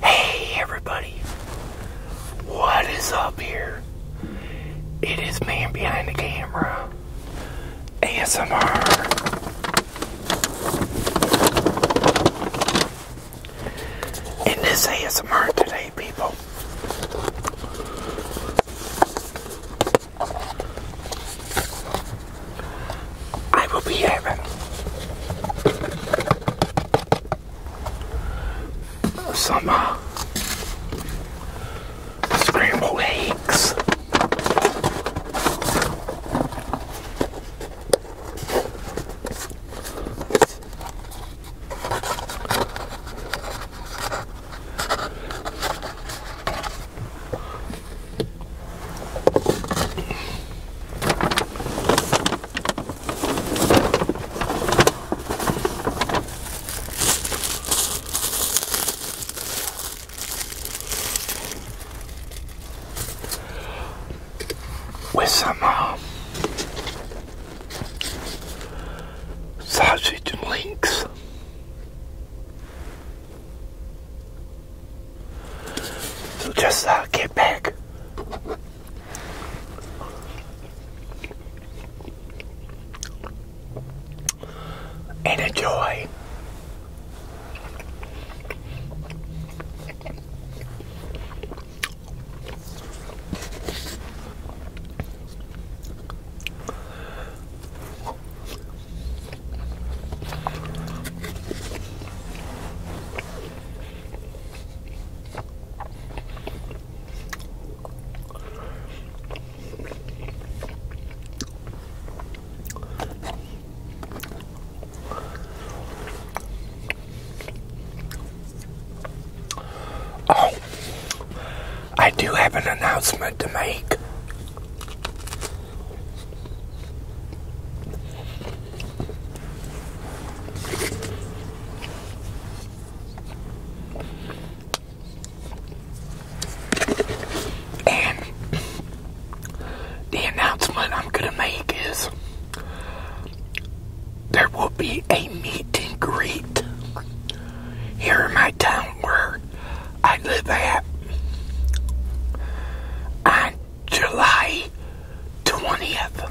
Hey everybody, what is up here? It is man behind the camera, ASMR. In this ASMR today, people, I will be having some scrambled eggs with some uh, sausage and links. So just uh, get back. And enjoy. Oh, I do have an announcement to make. And the announcement I'm going to make is there will be a meet and greet here in my town where I live at on July 20th.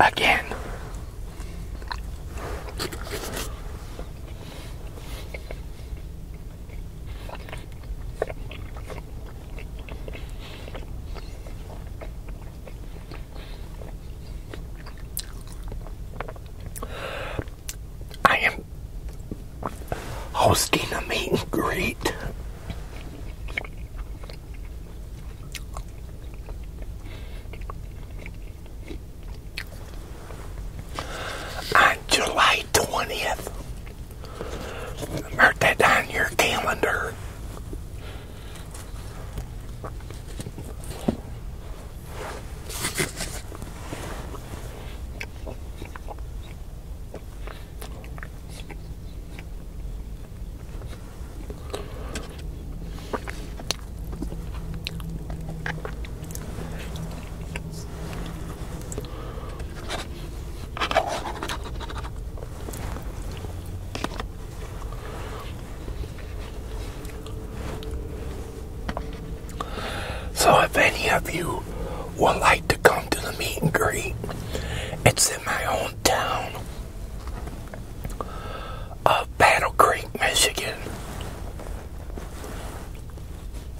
Again. I am hosting a meet and greet on July 20th. Mark that on your calendar. So, if any of you would like to come to the meet and greet, it's in my own town of Battle Creek, Michigan.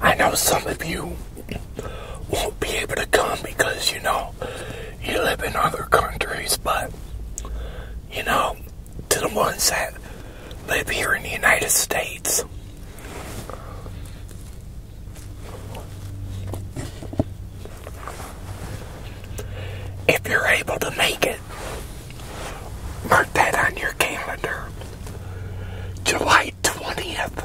I know some of you won't be able to come because you know you live in other countries, but you know to the ones that live here in the United States. If you're able to make it, mark that on your calendar. July 20th.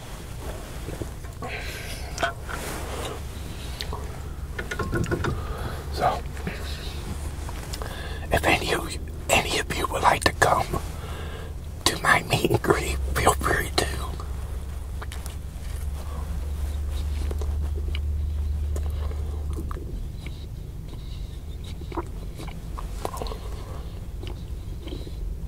So, if any of you, any of you would like to come to my meet and feel free to.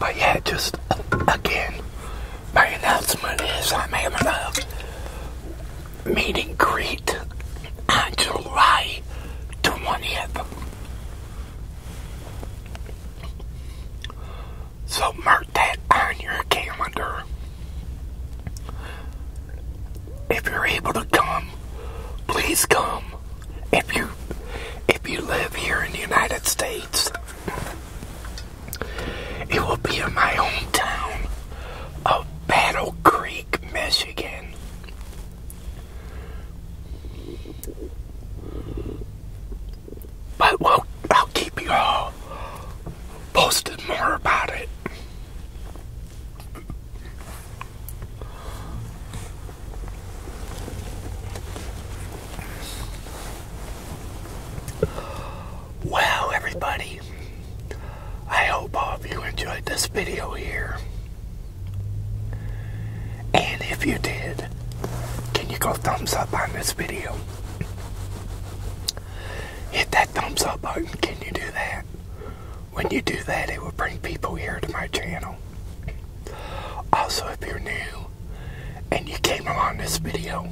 But yeah, just again, my announcement is I'm having a meet and greet to July 20th. So mark that on your calendar. If you're able to come, please come. If you if you live here in the United States, it will be in my hometown of Battle Creek, Michigan. But we I'll keep you all posted more about it. Well, everybody, I hope all of you enjoyed this video here. And if you did, can you go thumbs up on this video? Hit that thumbs up button. Can you do that? When you do that, it will bring people here to my channel. Also, if you're new and you came along this video,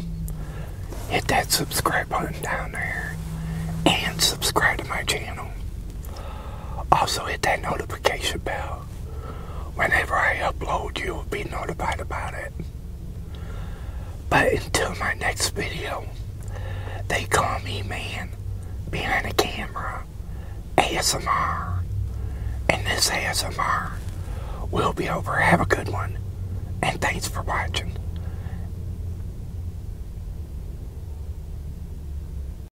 hit that subscribe button down there and subscribe to my channel. Also, hit that notification bell whenever I upload, you'll be notified about it. But until my next video, they call me man behind the camera, ASMR. And this ASMR will be over. Have a good one, and thanks for watching.